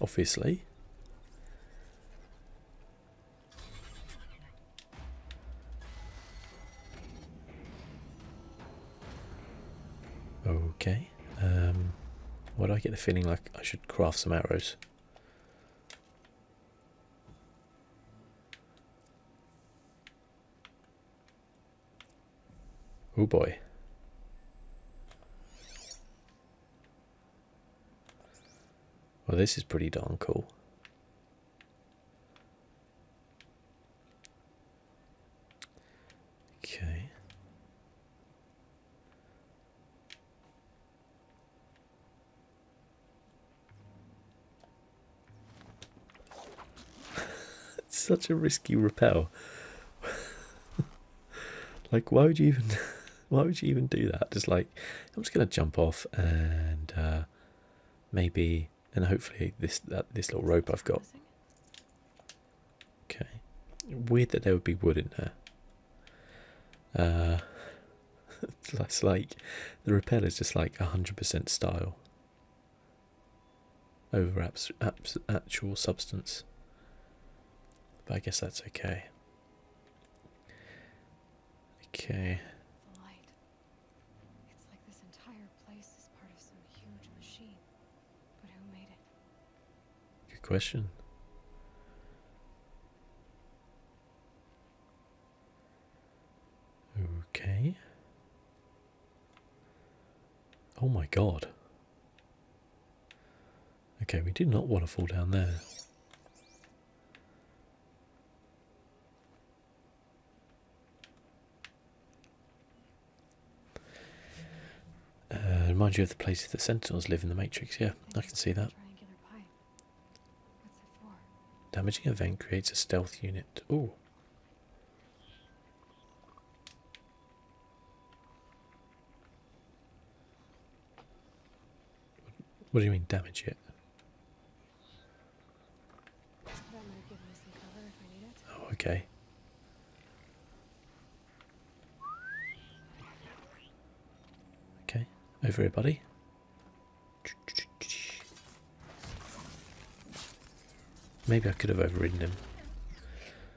obviously. Okay, um, why do I get the feeling like I should craft some arrows? Oh boy. Well, this is pretty darn cool. Okay. it's such a risky repel. like, why would you even Why would you even do that? Just like, I'm just going to jump off and uh, maybe, and hopefully this that, this little rope I've got. Okay. Weird that there would be wood in there. Uh, that's like, the rappel is just like 100% style over abs abs actual substance. But I guess that's okay. Okay. The light. It's like this entire place is part of some huge machine. But who made it? Good question. Okay. Oh my god. Okay, we did not want to fall down there. Uh, remind you of the places that sentinels live in the Matrix. Yeah, I can see that. Damaging event creates a stealth unit. Ooh. What do you mean damage it? Oh, okay. Okay, over here, buddy. Maybe I could have overridden him.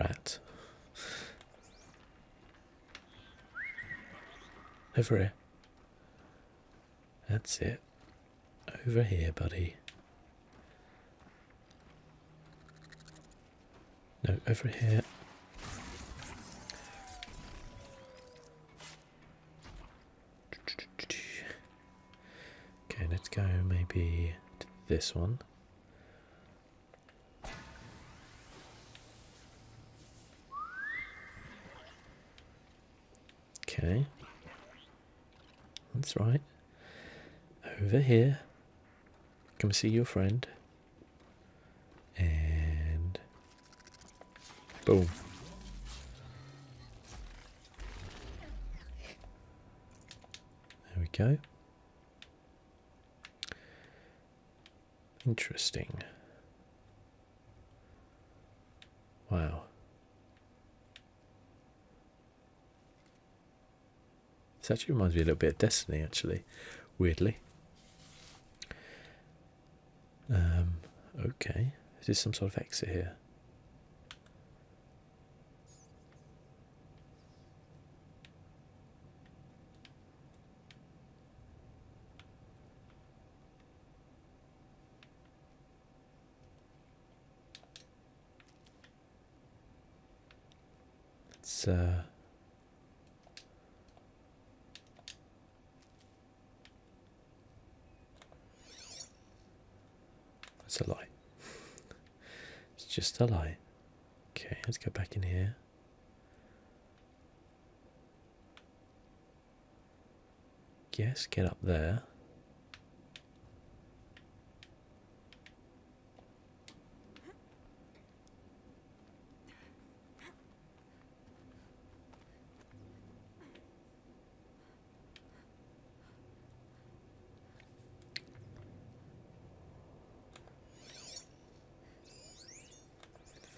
Rat. Over here. That's it. Over here, buddy. No, over here. Okay, let's go maybe to this one. Okay. That's right. Over here. Come see your friend. And boom. There we go. Interesting. Wow. This actually reminds me a little bit of Destiny, actually, weirdly. Um, okay. Is this some sort of exit here? Let's uh that's a lie. it's just a lie. Okay, let's go back in here. Guess get up there.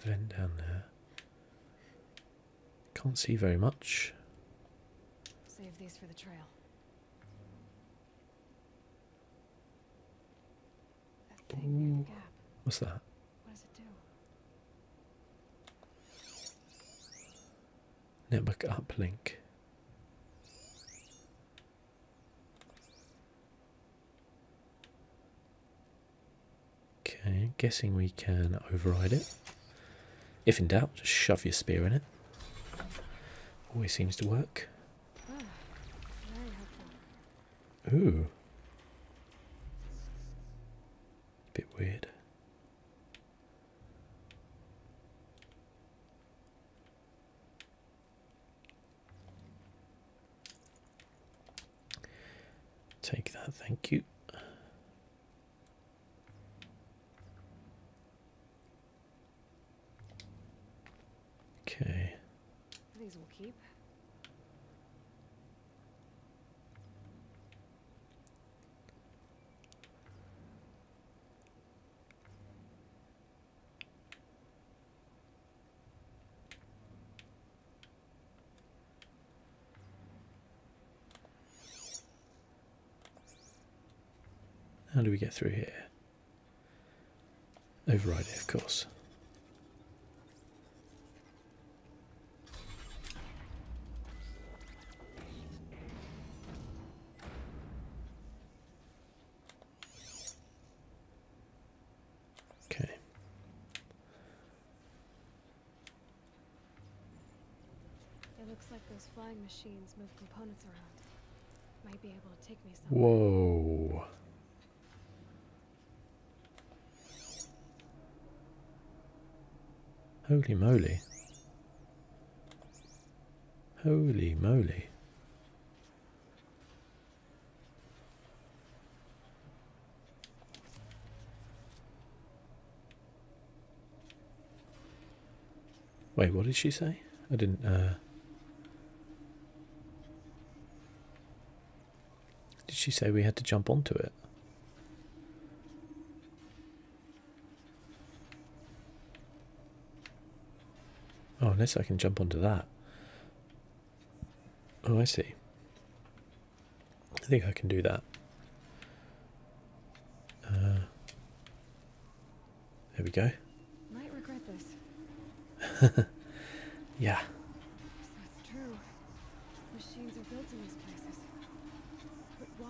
Vent down there. Can't see very much. Save these for the trail. That Ooh, what's that? What does it do? network uplink. Okay, guessing we can override it. If in doubt, just shove your spear in it. Always seems to work. Ah, Ooh. Bit weird. Take that, thank you. Okay. These will keep. How do we get through here? Override it, of course. Okay. It looks like those flying machines move components around. Might be able to take me somewhere. Whoa. Holy moly. Holy moly. Wait, what did she say? I didn't, uh... Did she say we had to jump onto it? Oh, unless I can jump onto that. Oh, I see. I think I can do that. Uh, there we go. yeah. So true. Machines are built in these places. But why?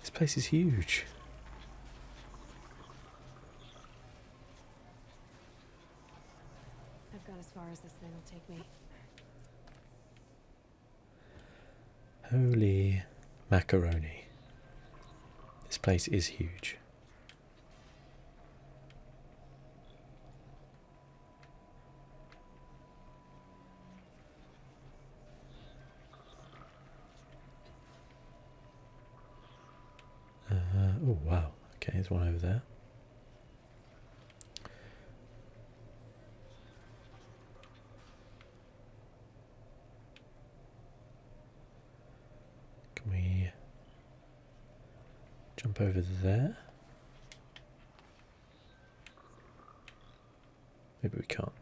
This place is huge. I've got as far as this thing will take me. Holy macaroni. This place is huge. Uh, oh wow, okay, there's one over there. Can we jump over there? Maybe we can't.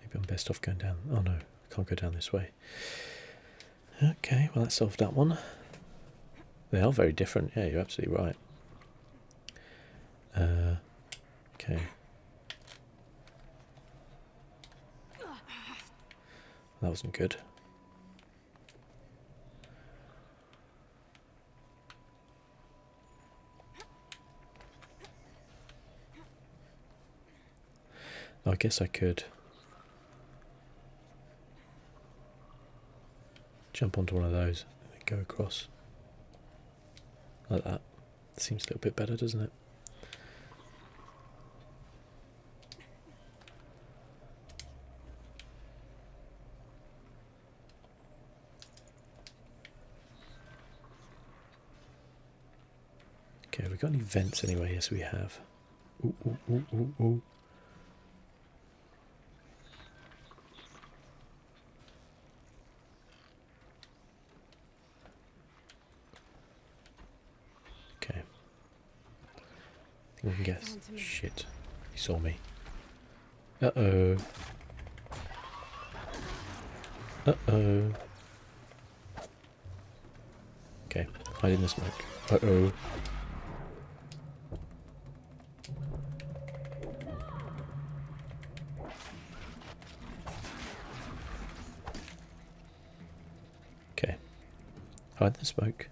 Maybe I'm best off going down. Oh no, I can't go down this way. Okay, well that solved that one. They are very different. Yeah, you're absolutely right. Uh, okay. That wasn't good. I guess I could jump onto one of those and go across like that. Seems a little bit better, doesn't it? Okay, have we got any vents anyway? Yes, we have. Ooh, ooh, ooh, ooh, ooh. Okay. I think we can guess. Shit. He saw me. Uh-oh. Uh-oh. Okay, hide in the smoke. Uh-oh. Okay. Hide in the smoke.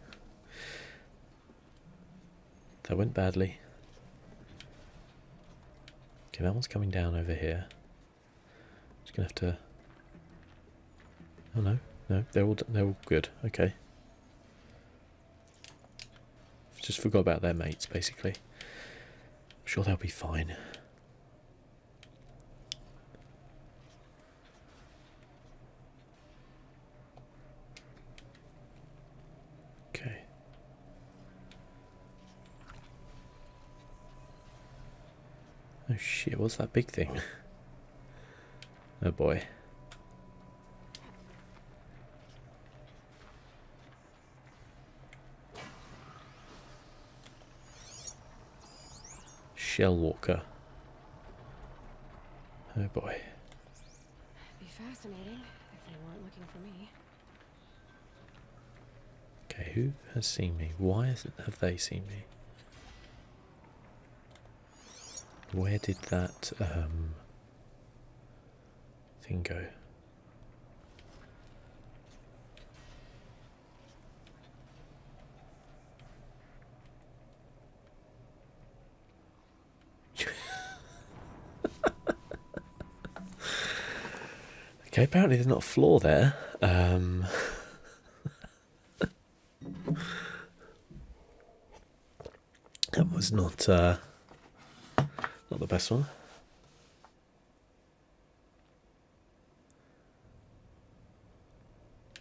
That went badly. Okay, that one's coming down over here. Just gonna have to. Oh no, no, they're all they're all good. Okay. Just forgot about their mates, basically. sure they'll be fine. Okay. Oh shit, what's that big thing? oh boy. Shell Walker. Oh boy. It'd be fascinating if they weren't looking for me. Okay, who has seen me? Why have they seen me? Where did that um, thing go? okay, apparently there's not a floor there. Um, that was not uh, not the best one.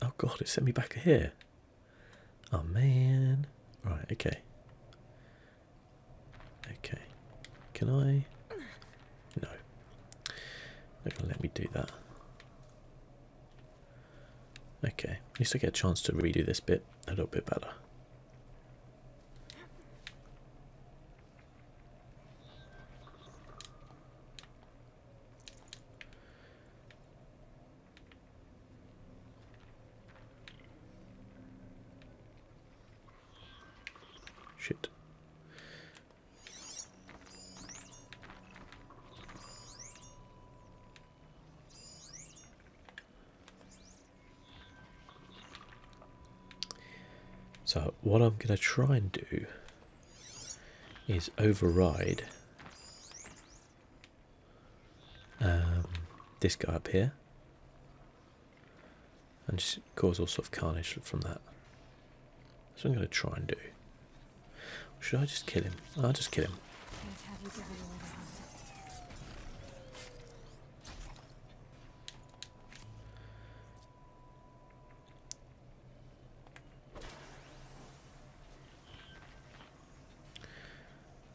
Oh god, it sent me back here. Oh man. Right, okay. Okay, can I? No, let me do that. Okay, at least I get a chance to redo this bit a little bit better. Shit. So what I'm going to try and do is override um, this guy up here and just cause all sort of carnage from that. That's what I'm going to try and do. should I just kill him? I'll just kill him.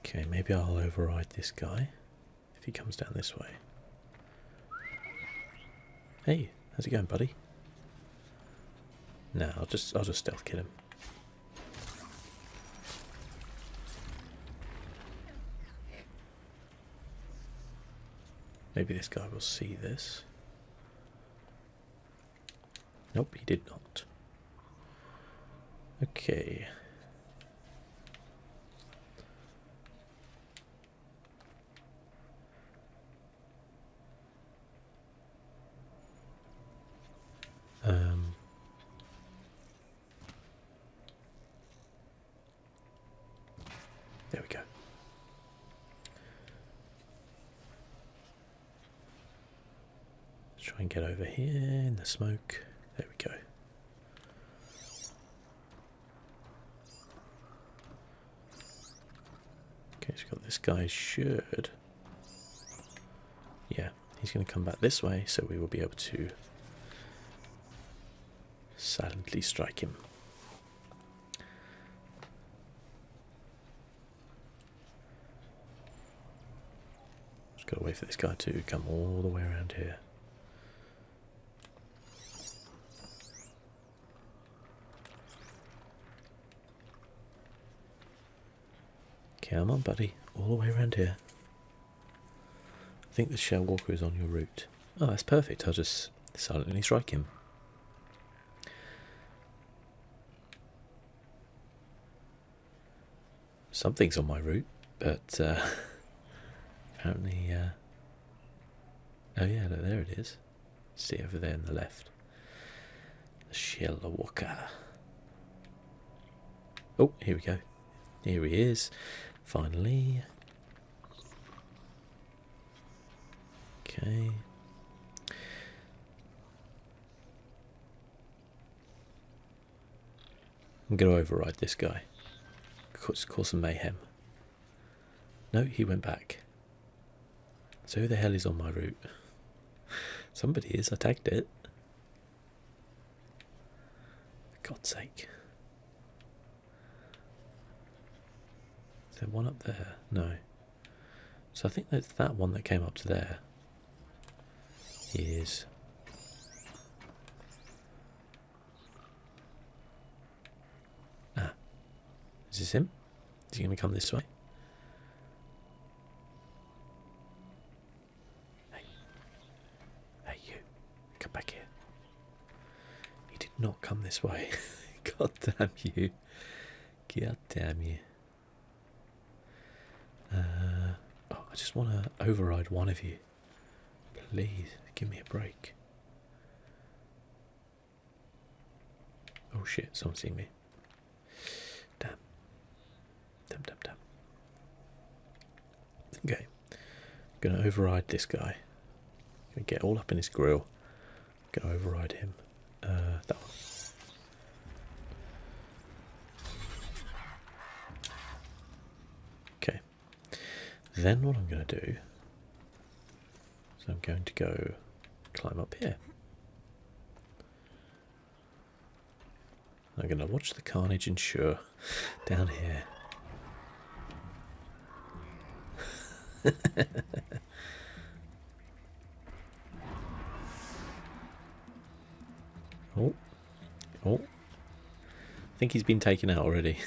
Okay, maybe I'll override this guy if he comes down this way. Hey, how's it going, buddy? No, I'll just I'll just stealth kill him. Maybe this guy will see this. Nope, he did not. Okay. Um, there we go. Let's try and get over here in the smoke. There we go. Okay, he's got this guy's shirt. Yeah, he's going to come back this way, so we will be able to silently strike him. Just got to wait for this guy to come all the way around here. Come on, buddy. All the way around here. I think the shell walker is on your route. Oh, that's perfect. I'll just silently strike him something's on my route, but uh, apparently, uh, oh yeah, there it is. See over there in the left, the Shellawaka. Oh, here we go. Here he is, finally. Okay. I'm going to override this guy. Cause, cause some mayhem. No, he went back. So who the hell is on my route? Somebody is. I tagged it. God's sake. Is there one up there? No. So I think that's that one that came up to there. Is Ah. Is this him? Is he going to come this way? Hey. Hey, you. Come back here. He did not come this way. God damn you. God damn you. Uh, oh, I just want to override one of you. Please give me a break. Oh shit, someone's seen me. Damn. Damn, damn, damn. Okay. gonna override this guy. gonna get all up in his grill. gonna override him. Uh, that one. Okay. Then what I'm going to do So I'm going to go climb up here. I'm going to watch the carnage ensure down here. oh, Oh. I think he's been taken out already.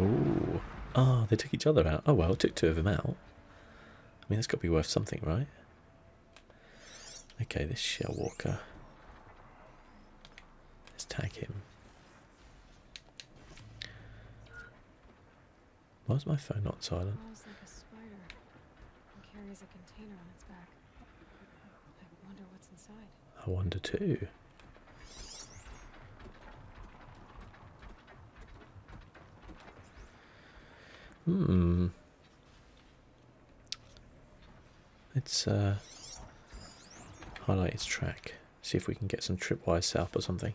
Oh, Oh, they took each other out. Oh, well, took two of them out. I mean, that's got to be worth something, right? Okay, this shell walker. Let's tag him. Why is my phone not silent? I wonder too. Hmm. Let's uh, highlight its track. See if we can get some tripwire set up or something.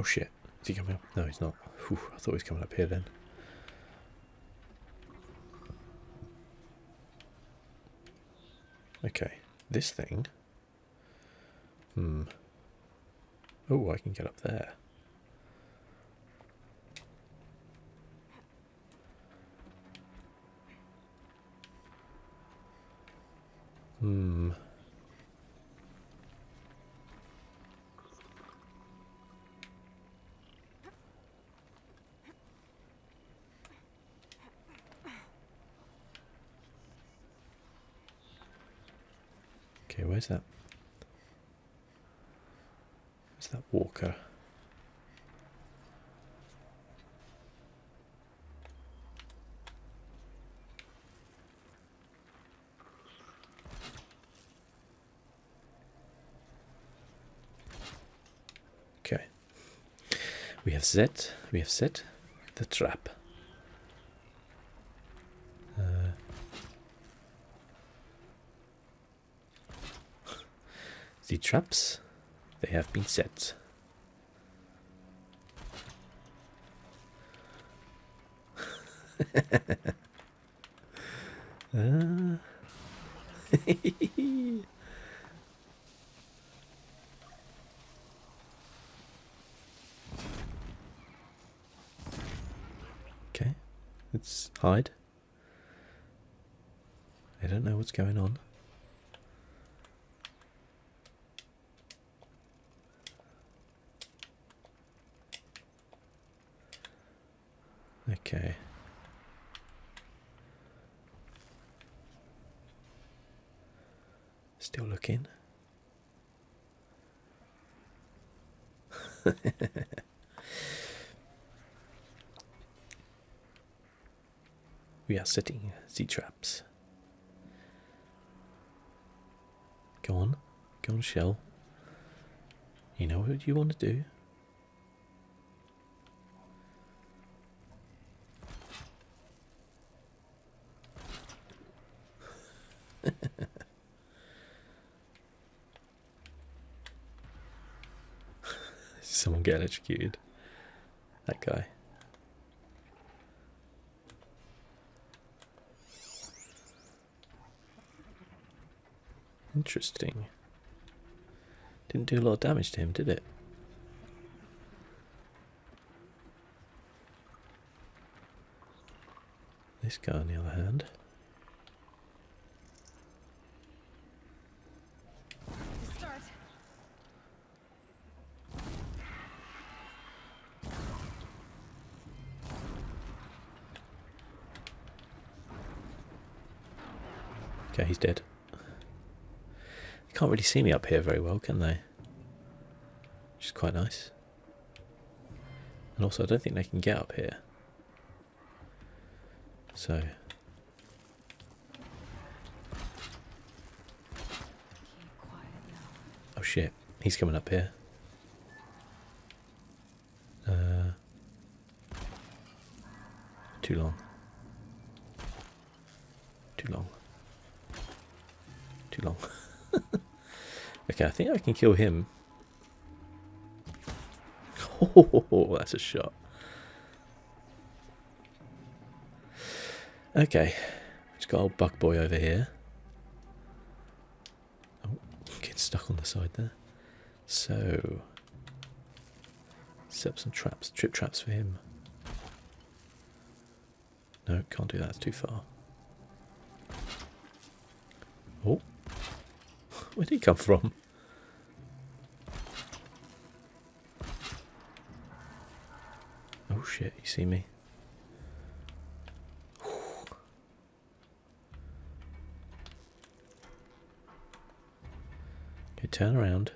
Oh shit, is he coming up? No, he's not. I thought he was coming up here then. Okay, this thing. Hmm. Oh, I can get up there. Hmm. Okay, where's that? Where's that walker? Okay. We have set, we have set the trap. Uh, the traps, they have been set. Okay, let's hide. I don't know what's going on. Okay. Still looking. we are setting Z traps. Go on, go on, shell. You know what you want to do. Someone get electrocuted. That guy. Interesting. Didn't do a lot of damage to him, did it? This guy, on the other hand. Okay, he's dead. They can't really see me up here very well, can they? Which is quite nice. And also, I don't think they can get up here. So. Oh shit, he's coming up here. Uh, too long. Too long. Too long. okay, I think I can kill him Oh, that's a shot. Okay, just got old buck boy over here. Oh, get stuck on the side there. So, set some traps, trip traps for him. No, can't do that, it's too far. Oh. Where did he come from? Oh shit, you see me. Okay, turn around.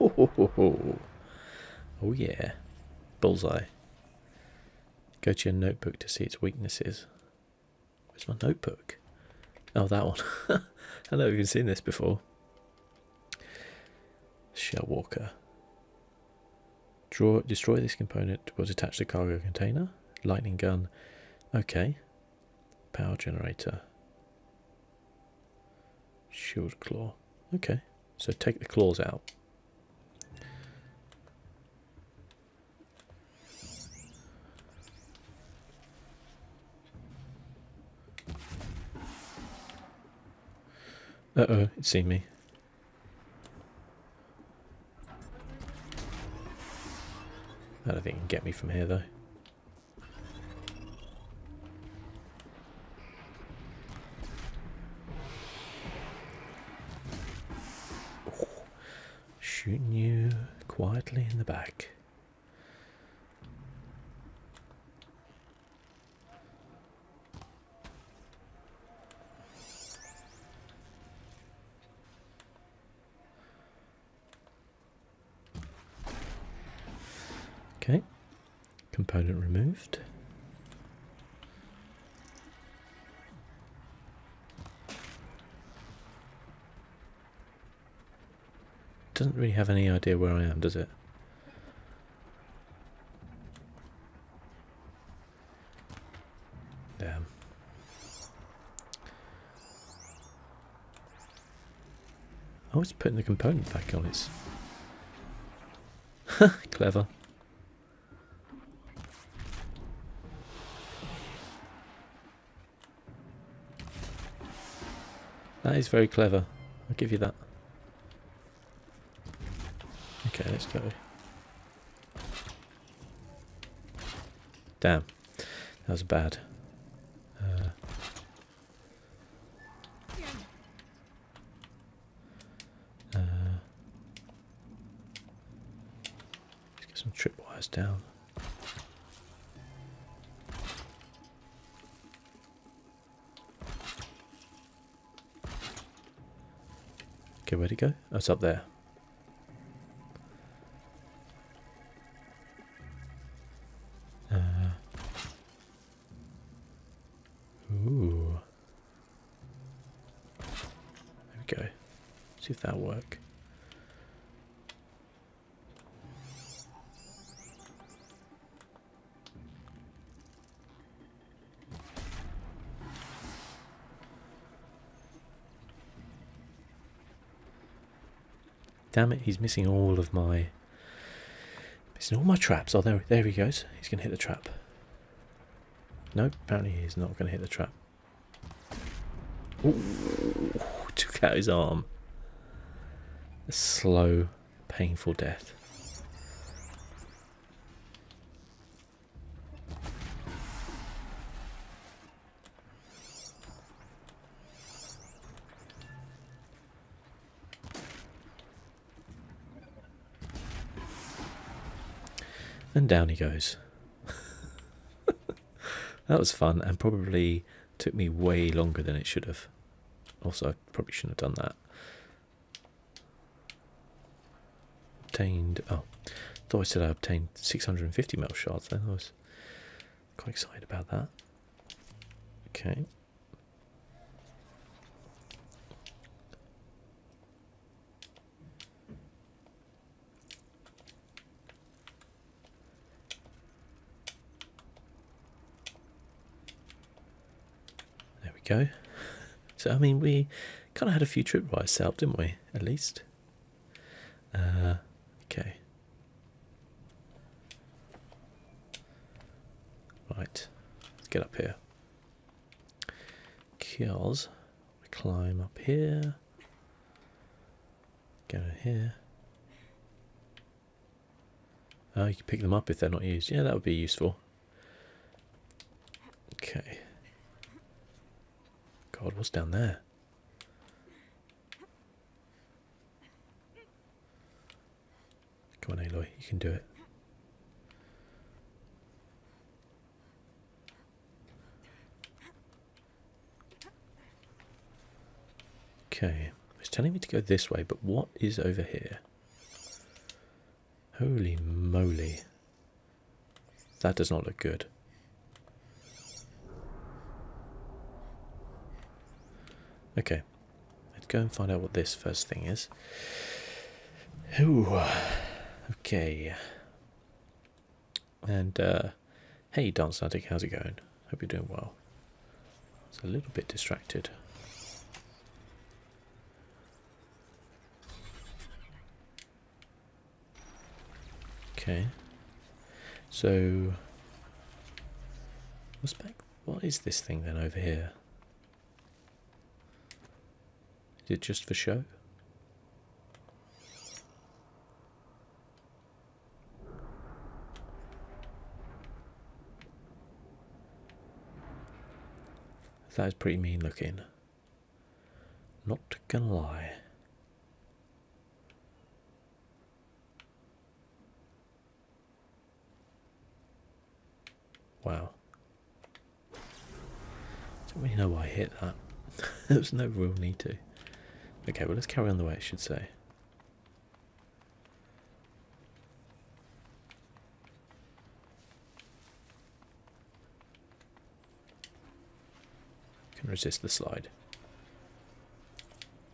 Oh, yeah. Bullseye. Go to your notebook to see its weaknesses. Where's my notebook? Oh, that one. I know you've seen this before. Shell Walker. Draw, destroy this component or detach the cargo container. Lightning gun. Okay. Power generator. Shield claw. Okay, so take the claws out. Uh-oh, it's seen me. I don't think it can get me from here, though. Oh, shooting you quietly in the back. Okay, component removed. Doesn't really have any idea where I am, does it? Damn. Oh, it's putting the component back on its... Clever. That is very clever. I'll give you that. Okay, let's go. Damn. That was bad. Uh, uh, let's get some tripwires down. Okay, where'd it go? Oh, it's up there. Uh, ooh. There we go. See if that'll work. Damn it, he's missing all of my... Missing all my traps. Oh, there, there he goes. He's going to hit the trap. No, apparently he's not going to hit the trap. took out his arm. A slow, painful death. And down he goes. that was fun and probably took me way longer than it should have. Also, I probably shouldn't have done that. Obtained, oh, thought I said I obtained 650 metal shards then. I was Quite excited about that. Okay. There we go. So, I mean, we kind of had a few tripwires set up, didn't we? At least. Uh, okay. Right, let's get up here. Kios. We climb up here. Go here. Oh, you can pick them up if they're not used. Yeah, that would be useful. Okay. God, what's down there? Come on, Aloy, you can do it. Okay, it's telling me to go this way, but what is over here? Holy moly. That does not look good. Okay, let's go and find out what this first thing is. Ooh, okay. And, uh, hey, Dance Attic, how's it going? Hope you're doing well. i It's a little bit distracted. Okay. So what's this thing then over here? Is it just for show? That is pretty mean looking. Not gonna lie. Wow. Don't really know why I hit that. there was no real need to. Okay, well let's carry on the way I should say. Can resist the slide.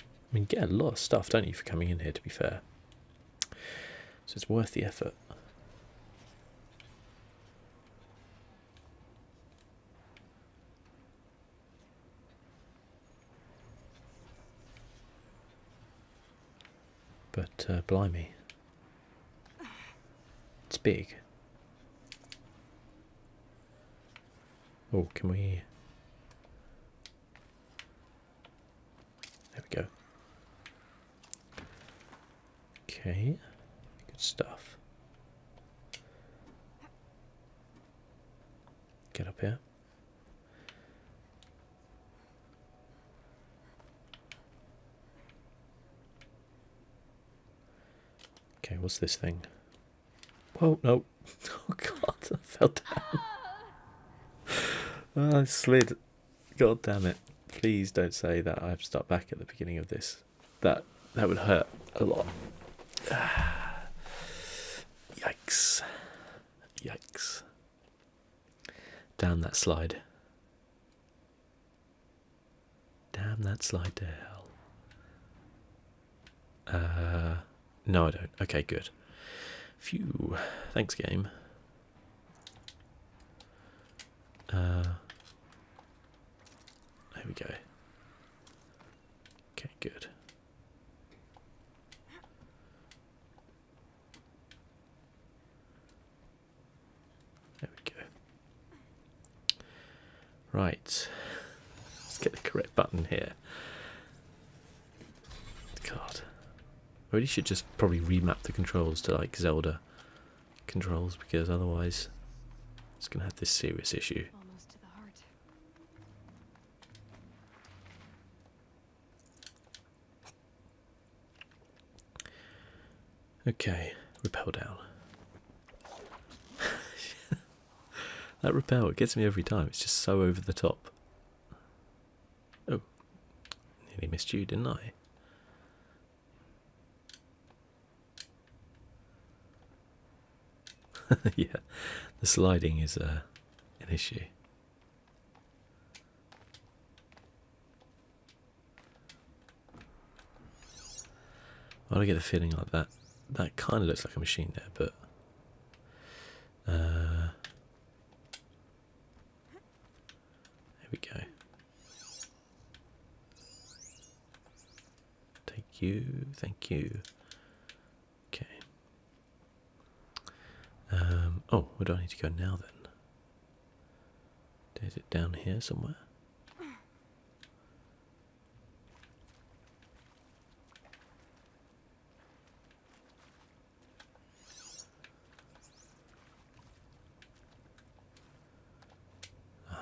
I mean, get a lot of stuff, don't you, for coming in here, to be fair. So it's worth the effort. But, uh, blimey. It's big. Oh, can we... There we go. Okay, good stuff. Get up here. Okay, what's this thing? Whoa, no. Oh god, I fell down. oh, ah, I slid. God damn it. Please don't say that I have to start back at the beginning of this. That that would hurt a lot. Yikes. Yikes. Down that slide. Damn that slide to hell. Uh, no, I don't. Okay, good. Phew. Thanks, game. Uh, there we go. Okay, good. There we go. Right, let's get the correct button here. God, maybe really should just probably remap the controls to like Zelda controls because otherwise it's going to have this serious issue. Okay, repel down. that repel, it gets me every time. It's just so over the top. Oh, nearly missed you, didn't I? yeah, the sliding is uh, an issue. I get a feeling like that. That kind of looks like a machine there, but. Uh, there we go. Thank you, thank you. Okay. Um, oh, where do I need to go now then? Is it down here somewhere?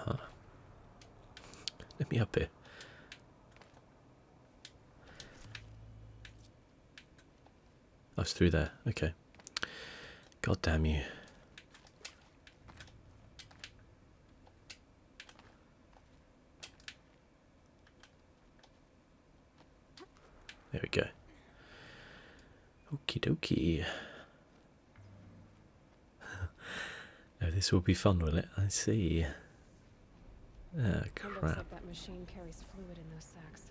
uh Let me up here. Oh, I was through there. Okay. God damn you. There we go. Okey dokey. oh, this will be fun, will it? I see. Ah, crap. that machine carries fluid in those sacks.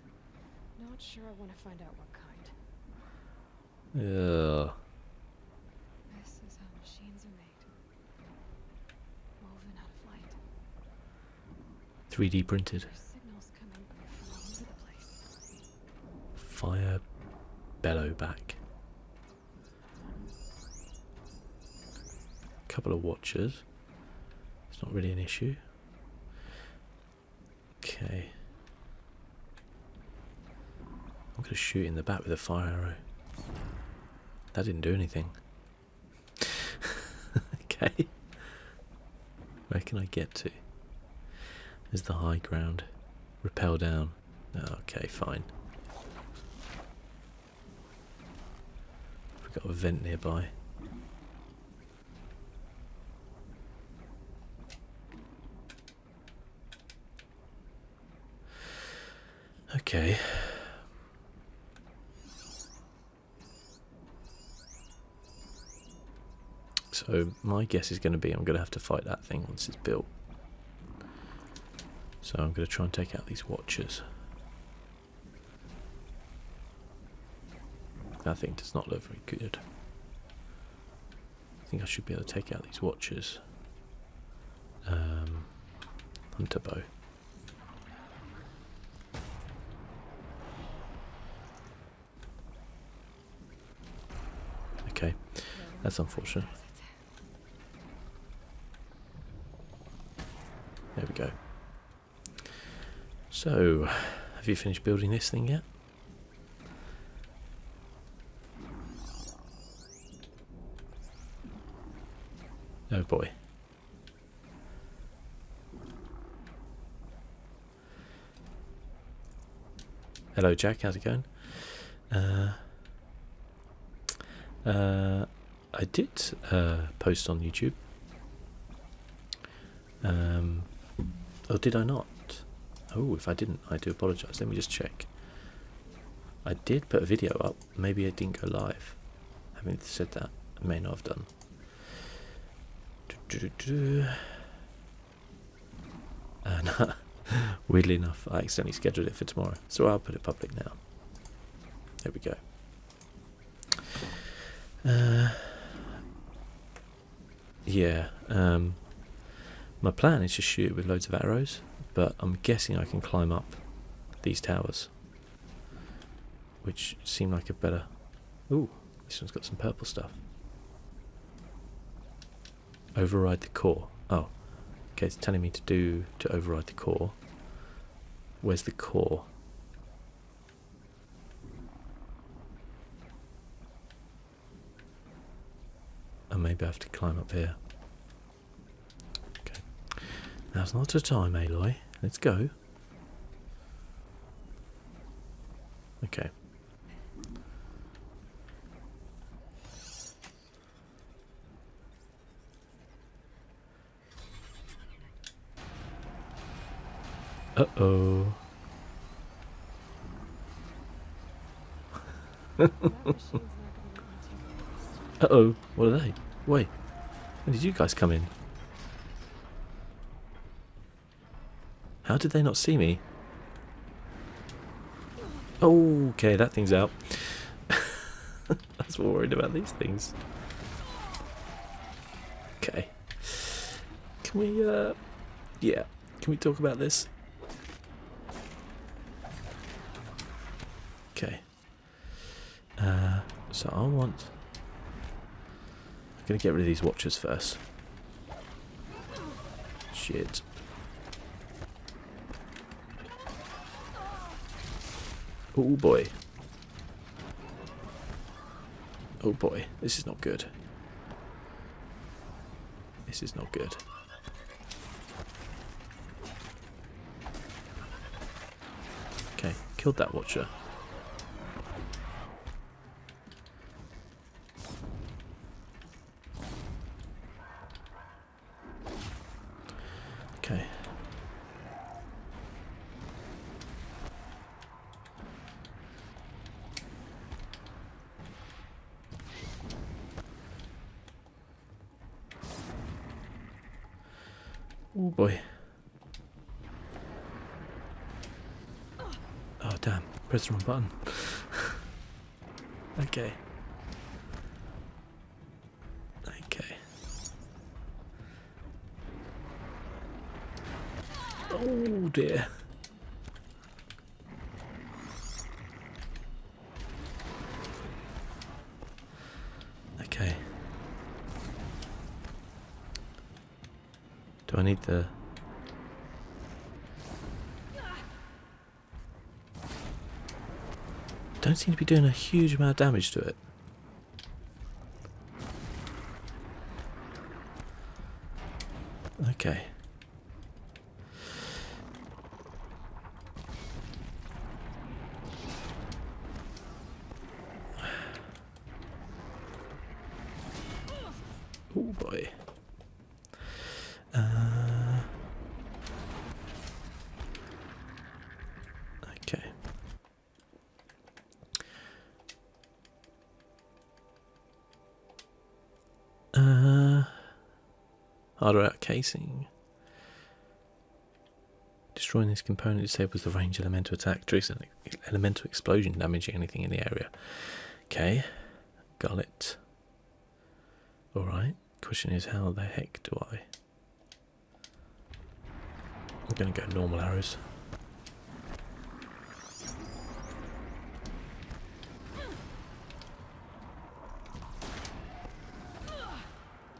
Not sure I want to find out what kind. Yeah. This is how machines are made. 3D printed. Fire bellow back. A Couple of watchers. It's not really an issue. Okay. I'm gonna shoot in the back with a fire arrow. That didn't do anything. okay. Where can I get to? Is the high ground? Repel down. Oh, okay, fine. We've got a vent nearby. Okay. So my guess is going to be I'm going to have to fight that thing once it's built. So I'm going to try and take out these watchers. That thing does not look very good. I think I should be able to take out these watchers. Um, hunter bow. Okay, that's unfortunate. There we go. So, have you finished building this thing yet? Oh boy. Hello, Jack. How's it going? Uh, uh, I did uh, post on YouTube. Um, or did I not? Oh, if I didn't. I do apologise. Let me just check. I did put a video up. Maybe I didn't go live. Having said that, I may not have done. Uh, and weirdly enough, I accidentally scheduled it for tomorrow. So I'll put it public now. There we go. Uh, yeah, um, my plan is to shoot with loads of arrows, but I'm guessing I can climb up these towers, which seem like a better... Ooh, this one's got some purple stuff. Override the core. Oh, okay, it's telling me to do to override the core. Where's the core? And oh, maybe I have to climb up here. Okay. Now's not a time, Aloy. Let's go. Okay. Uh oh. uh oh, what are they? Wait, when did you guys come in? How did they not see me? Okay, that thing's out. That's what we worried about these things. Okay. Can we, uh... Yeah. Can we talk about this? Okay. Uh, so I want... I'm going to get rid of these watchers first. Shit. Oh boy. Oh boy, this is not good. This is not good. Okay, killed that watcher. Okay. Oh boy. Oh damn, press the wrong button. okay. Okay. Oh dear. Okay. Do I need the... Don't seem to be doing a huge amount of damage to it. Okay. Oh boy. Uh, okay. Uh, Harder out casing. Destroying this component disables the range elemental attack, triggers elemental explosion, damaging anything in the area. Okay, gullet. Alright, question is how the heck do I. I'm gonna get normal arrows.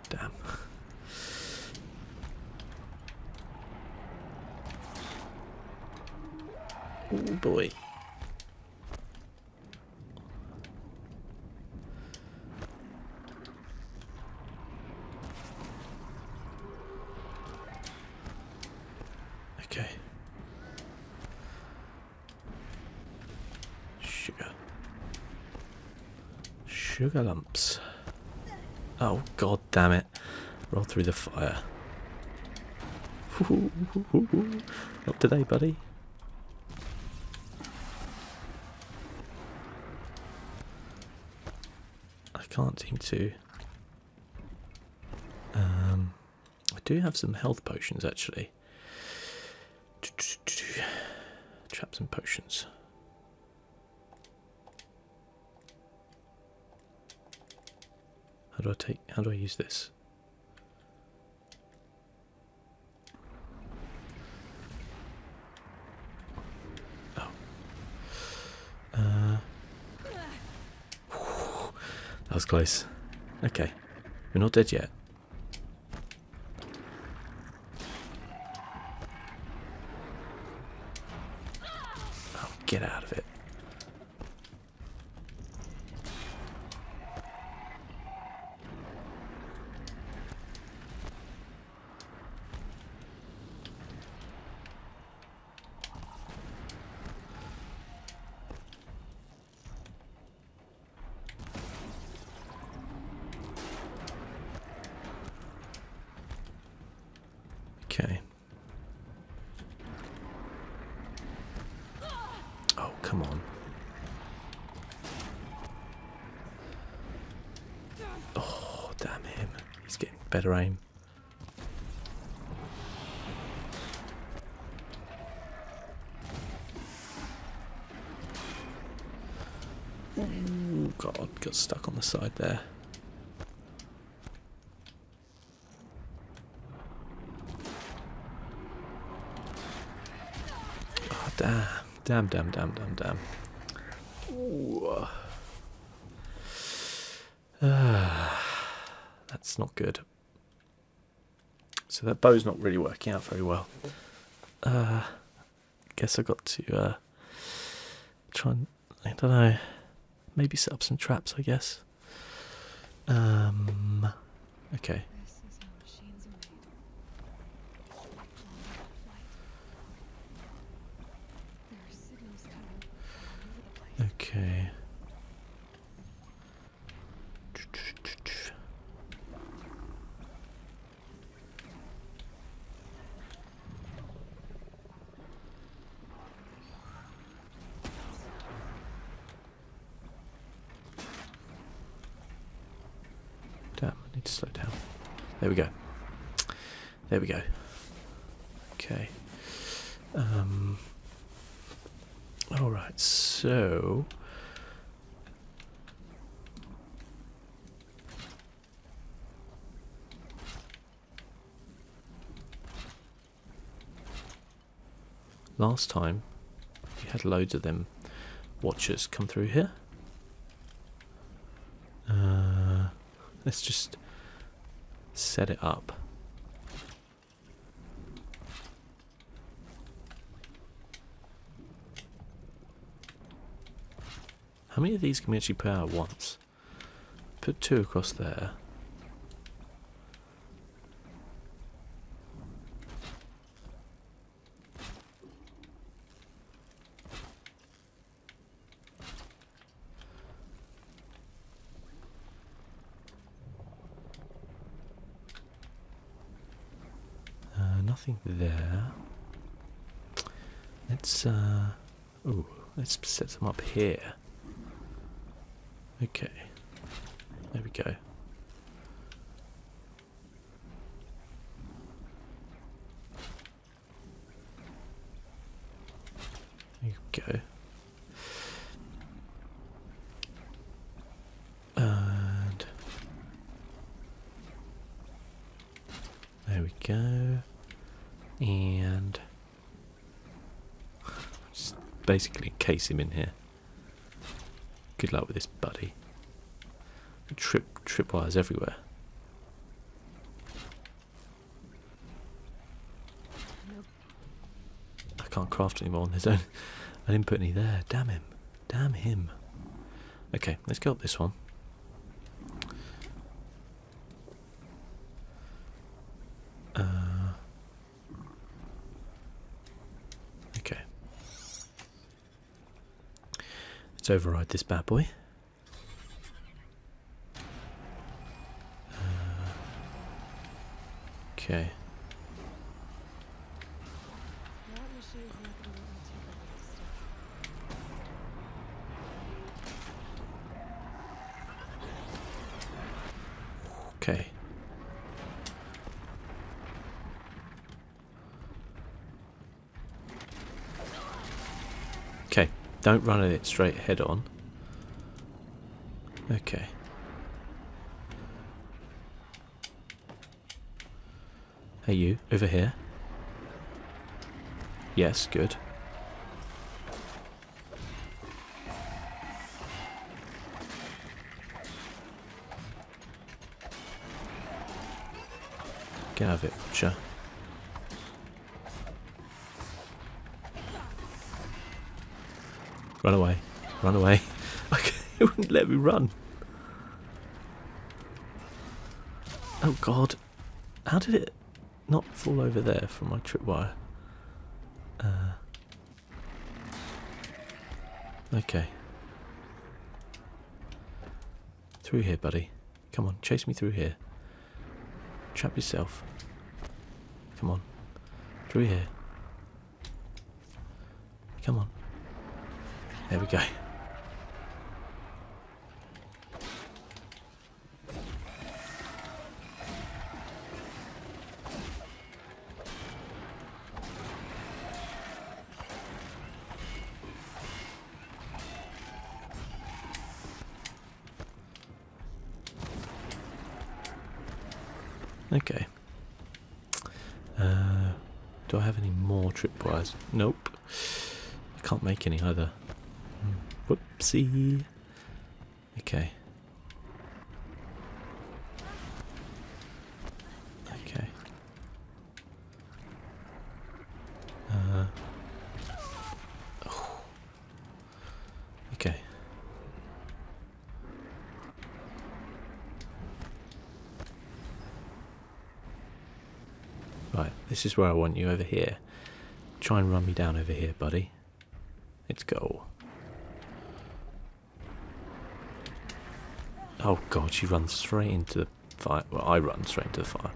Damn. oh boy. Okay. Sugar. Sugar lumps. Oh, god damn it. Roll through the fire. Not today, buddy. I can't seem to. Um, I do have some health potions actually. Traps and potions. How do I take? How do I use this? Oh. Uh. that was close. Okay, we're not dead yet. Oh, get out of it. Okay. Oh, come on. Oh, damn him. He's getting better aim. Ooh, God, got stuck on the side there. Oh, damn, damn, damn, damn, damn, ah, that's not good. So that bow's not really working out very well. Uh, guess I got to uh, try and I don't know, maybe set up some traps. I guess. Um, okay. Okay. Damn, I need to slow down. There we go. There we go. Okay. Um, all right, so last time we had loads of them watchers come through here. Uh, let's just set it up how many of these can we actually pair at once? Put two across there. Uh, nothing there. Let's oh, let's set them up here. Okay. There we go. There you go. And there we go. And just basically encase him in here. Good luck with this, buddy. Trip trip wires everywhere. I can't craft anymore on his I didn't put any there. Damn him. Damn him. Okay, let's go up this one. Uh, okay. Let's override this bad boy. Uh, okay. Okay. Okay, don't run at it straight head on. Okay. Hey you, over here. Yes, good. Get out of it, butcher. Run away. Run away. Okay, it wouldn't let me run. Oh god. How did it not fall over there from my tripwire? Uh, okay. Through here, buddy. Come on, chase me through here. Trap yourself. Come on. Through here. Come on. There we go. Okay. Uh, do I have any more tripwires? Nope. I can't make any either. Hmm. Whoopsie. Okay. Okay. Uh, okay. Right, this is where I want you over here. Try and run me down over here, buddy. Let's go. Oh god, she runs straight into the fire. Well, I run straight into the fire.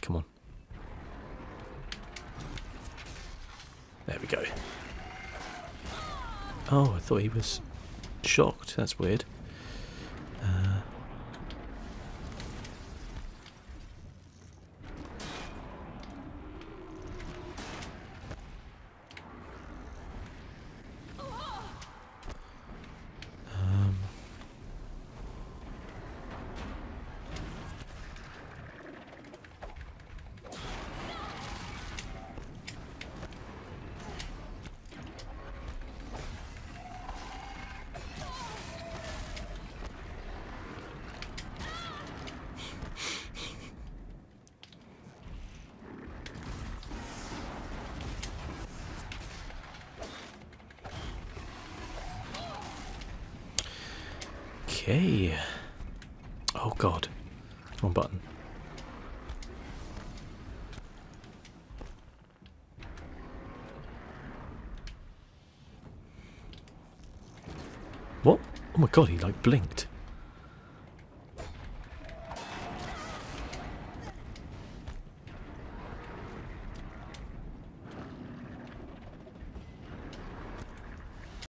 Come on. There we go. Oh, I thought he was shocked. That's weird. um, Okay. Oh god. One button. What? Oh my god, he like blinked.